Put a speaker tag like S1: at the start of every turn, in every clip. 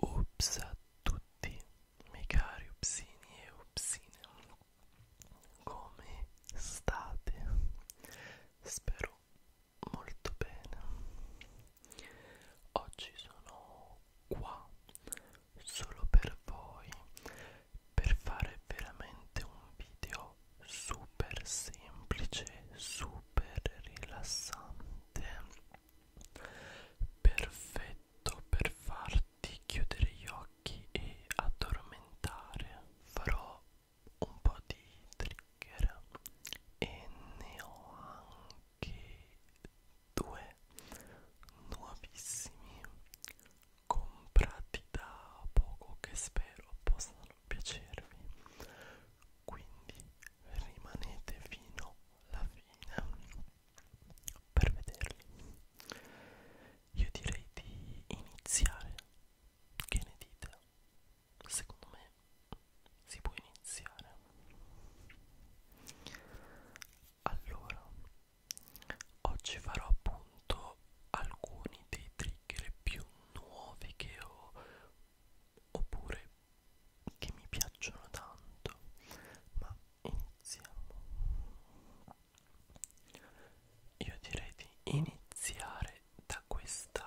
S1: Ups a tutti, miei cari upsini e upsine, come state? Spero molto bene. Oggi sono qua solo per voi per fare veramente un video super semplice, super rilassante, perfetto per farti chiudere gli occhi e addormentare. Farò un po' di trigger e ne ho che due nuovissimi comprati da poco che spero possano piacervi quindi rimanete fino alla fine per vederli io direi di iniziare che ne dite secondo me si può iniziare allora oggi farò appunto alcuni dei trigger più nuovi che ho oppure che mi piacciono tanto ma iniziamo io direi di iniziare da questa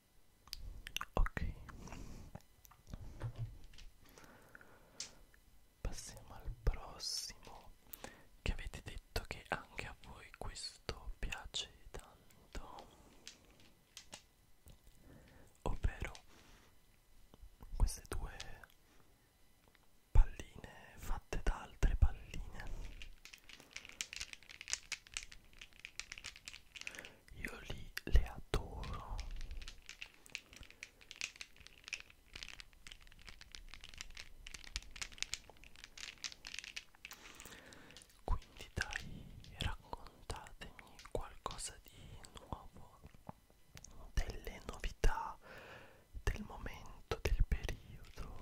S1: ok passiamo al prossimo che avete detto che anche a voi questo piace tanto ovvero queste due palline fatte da altre palline io lì le adoro quindi dai raccontatemi qualcosa di nuovo delle novità del momento del periodo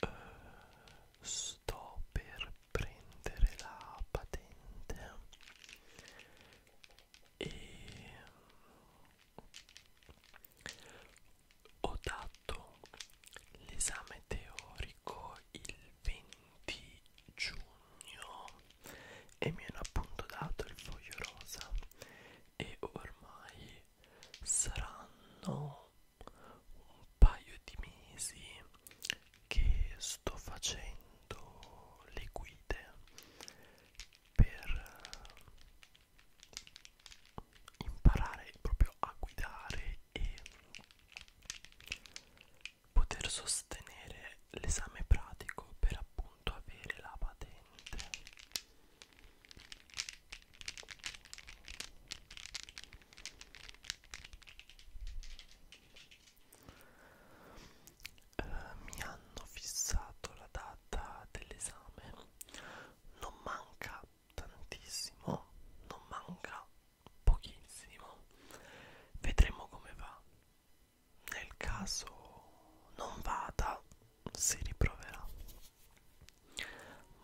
S1: eh, sto per prendere la patente e mm, ho dato l'esame teorico il 20 giugno e mi hanno appunto dato il foglio rosa e ormai saranno un paio di mesi che sto facendo le guide per eh, imparare proprio a guidare e poter sostenere l'esame pratico per appunto avere la patente eh, mi hanno fissato la data dell'esame non manca tantissimo non manca pochissimo vedremo come va nel caso non vada si riproverà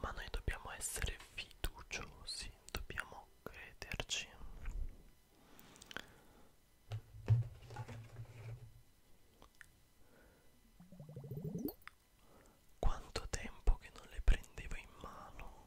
S1: ma noi dobbiamo essere fiduciosi dobbiamo crederci quanto tempo che non le prendevo in mano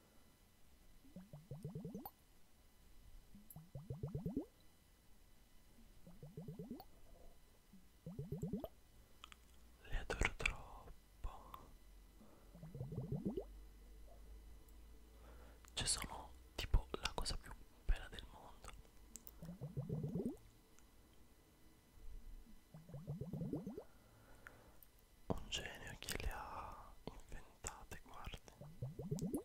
S1: Le adoro troppo. Cioè sono tipo la cosa più bella del mondo. Un genio che le ha inventate, guardi.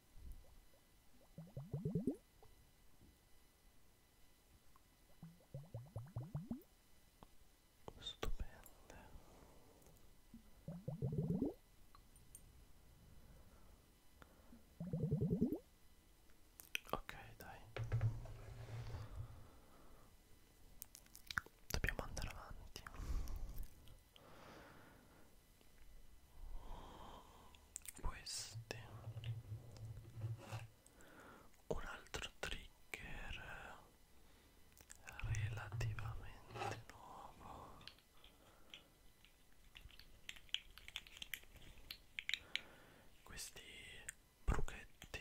S1: Stupende. Ok, dai. Dobbiamo andare avanti queste un altro trigger relativamente nuovo questi bruchetti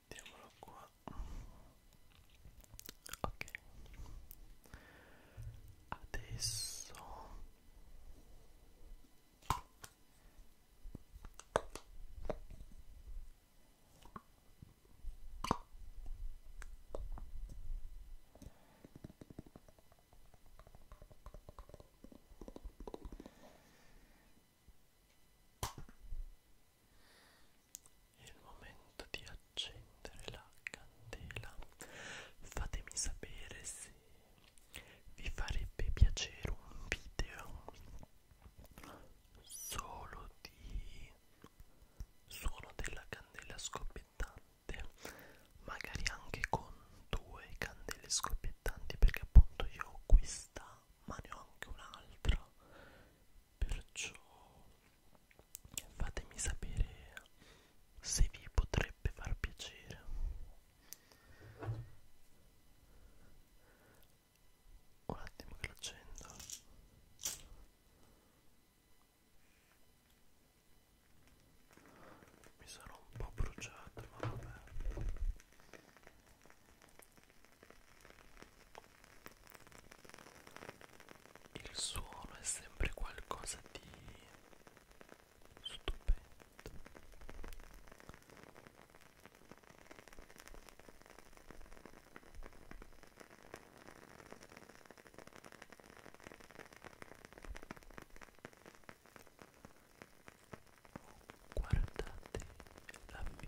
S1: mettiamolo qua ok adesso è il momento di accendere la candela. Fatemi sapere se vi farebbe piacere un video solo di suono della candela scoppiettante, magari anche con due candele scoppiettanti perché appunto io ho questa ma ne ho anche un'altra perciò fatemi sapere se vi potrebbe far piacere un attimo che lo accendo mi sono un po' bruciato ma vabbè il suono è sempre qualcosa di stupendo. Guardate la mia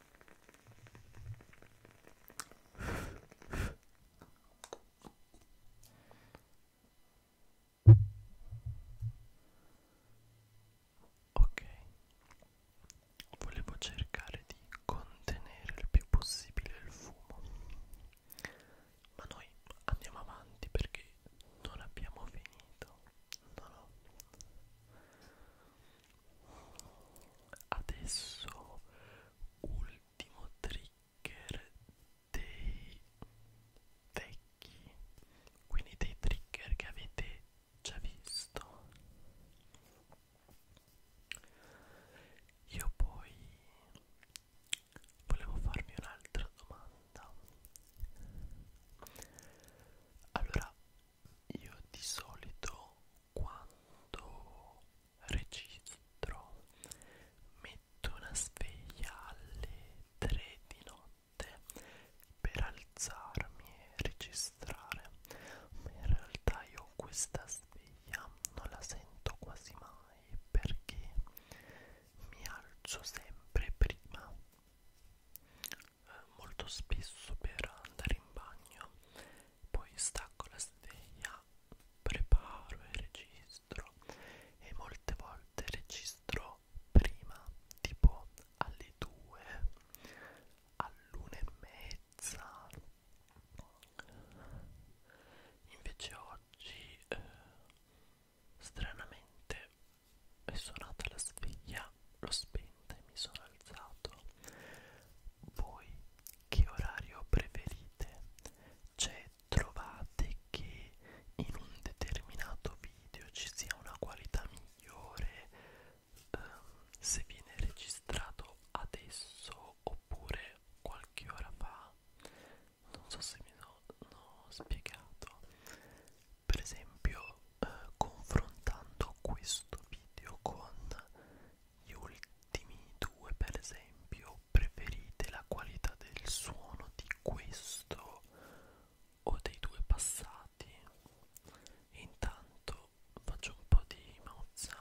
S1: Ok, volevo cercare di contenere il più possibile il fumo, ma noi andiamo avanti perché non abbiamo finito. No, no adesso ultimo trigger dei vecchi quindi dei trigger che avete già visto io poi volevo farvi un'altra domanda allora io di solito quando registro metto una sveglia alle 3 di notte per alzarmi e registrare ma in realtà io questa sveglia non la sento quasi mai perché mi alzo sempre prima eh, molto spesso per andare in bagno poi stacco la sveglia, preparo e registro e molte volte registro prima, tipo alle 2, all'una e mezza. Invece oggi eh, stranamente è suonata la sveglia, l'ho spenta e mi sono alzato. Voi che orario preferite? Cioè trovate che in un determinato video ci sia una qualità migliore um, se viene registrato adesso oppure qualche ora fa? Non so se mi sono no, spiegato. Per esempio, eh, confrontando questo video con gli ultimi due, per esempio, preferite la qualità del suono di questo o dei due passati? Intanto faccio un po' di mouth sounds.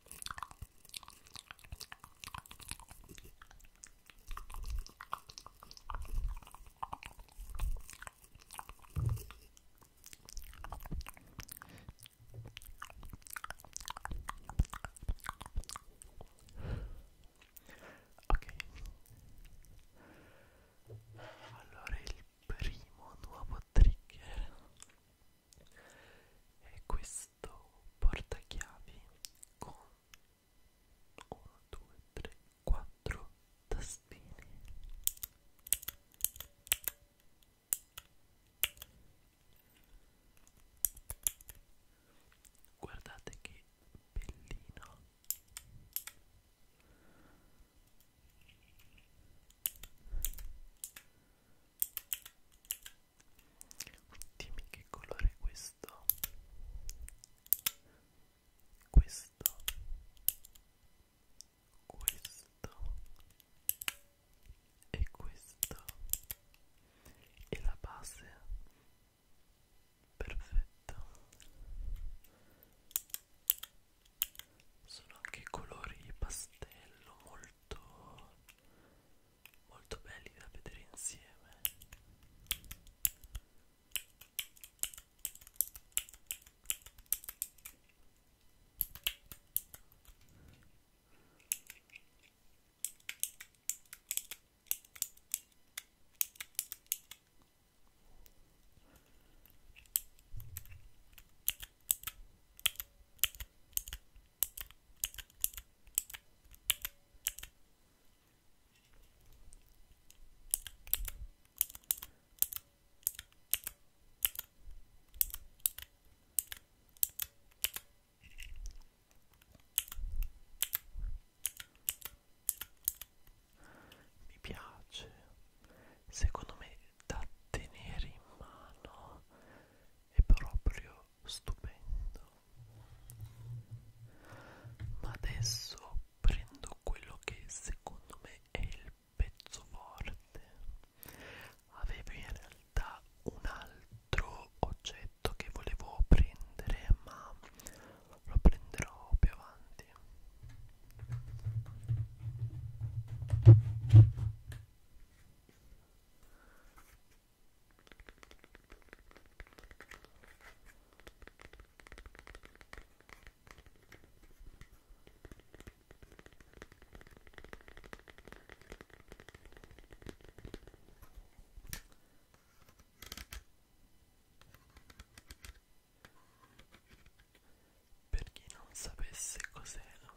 S1: Ok, allora il primo nuovo trigger e questo portachiavi con 1 2 3 4 tastine guardate che bellino dimmi che colore è questo questo questo e questo e la base perfetto sono anche colori pastello molto molto belli da vedere insieme mi piace, secondo me da tenere in mano è proprio stupendo. Ma adesso prendo quello che secondo me è il pezzo forte. Avevo in realtà un altro oggetto che volevo prendere, ma lo prenderò più avanti. Per chi non sapesse cos'era,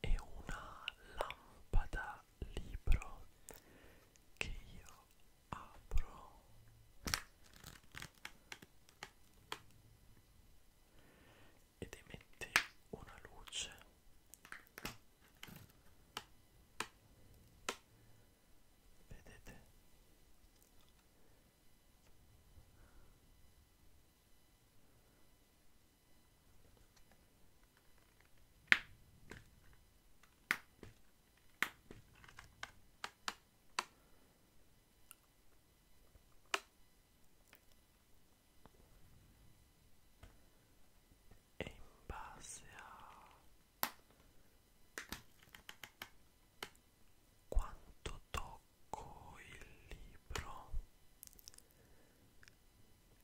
S1: è una lampada da libro che io apro ed emette una luce vedete e in base a quanto tocco il libro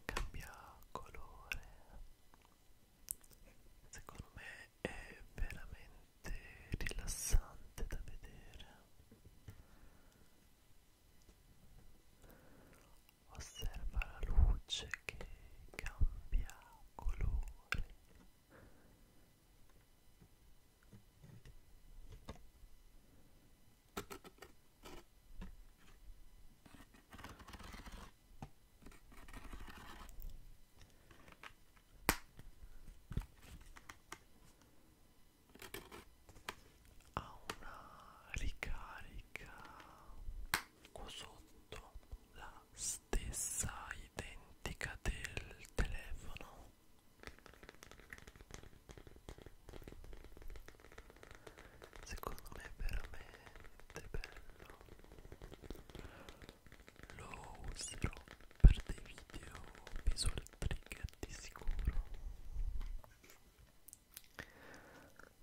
S1: cambia colore secondo me è veramente rilassante da vedere osserva la luce che cambia colore ha una ricarica qua sotto la stessa identica del telefono secondo me è veramente bello lo userò per dei video visual trigger di sicuro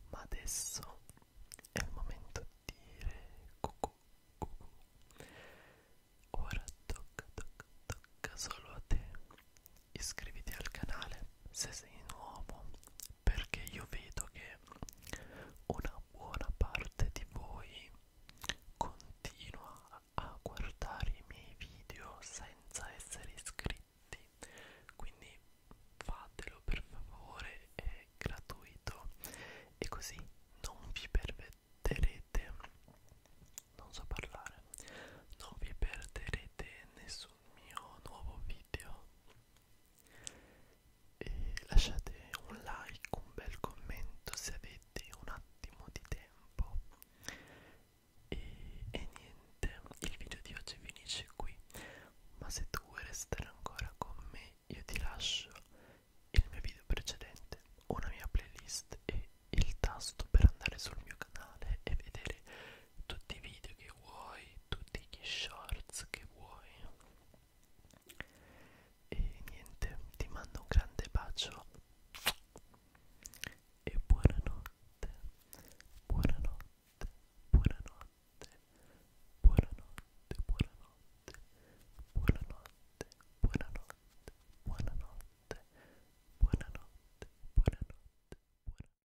S1: ma adesso è il momento di dire cucù cucù ora tocca tocca tocca solo a te iscriviti al canale se sei nuovo perché io vedo che una buona parte di voi continua a guardare i miei video senza essere iscritti quindi fatelo per favore è gratuito e così non vi permetterete non so parlare non vi perderete nessun un mio nuovo video e lasciate un like, un bel commento se avete un attimo di tempo e, e niente, il video di oggi finisce qui ma se tu vuoi restare ancora con me io ti lascio il mio video precedente, una mia playlist e il tasto per andare sul mio canale e vedere tutti i video che vuoi, tutti gli shorts che vuoi. E niente, ti mando un grande bacio e buonanotte, buonanotte, buonanotte, buonanotte, buonanotte, buonanotte, buonanotte, buonanotte, buonanotte, buonanotte, buonanotte.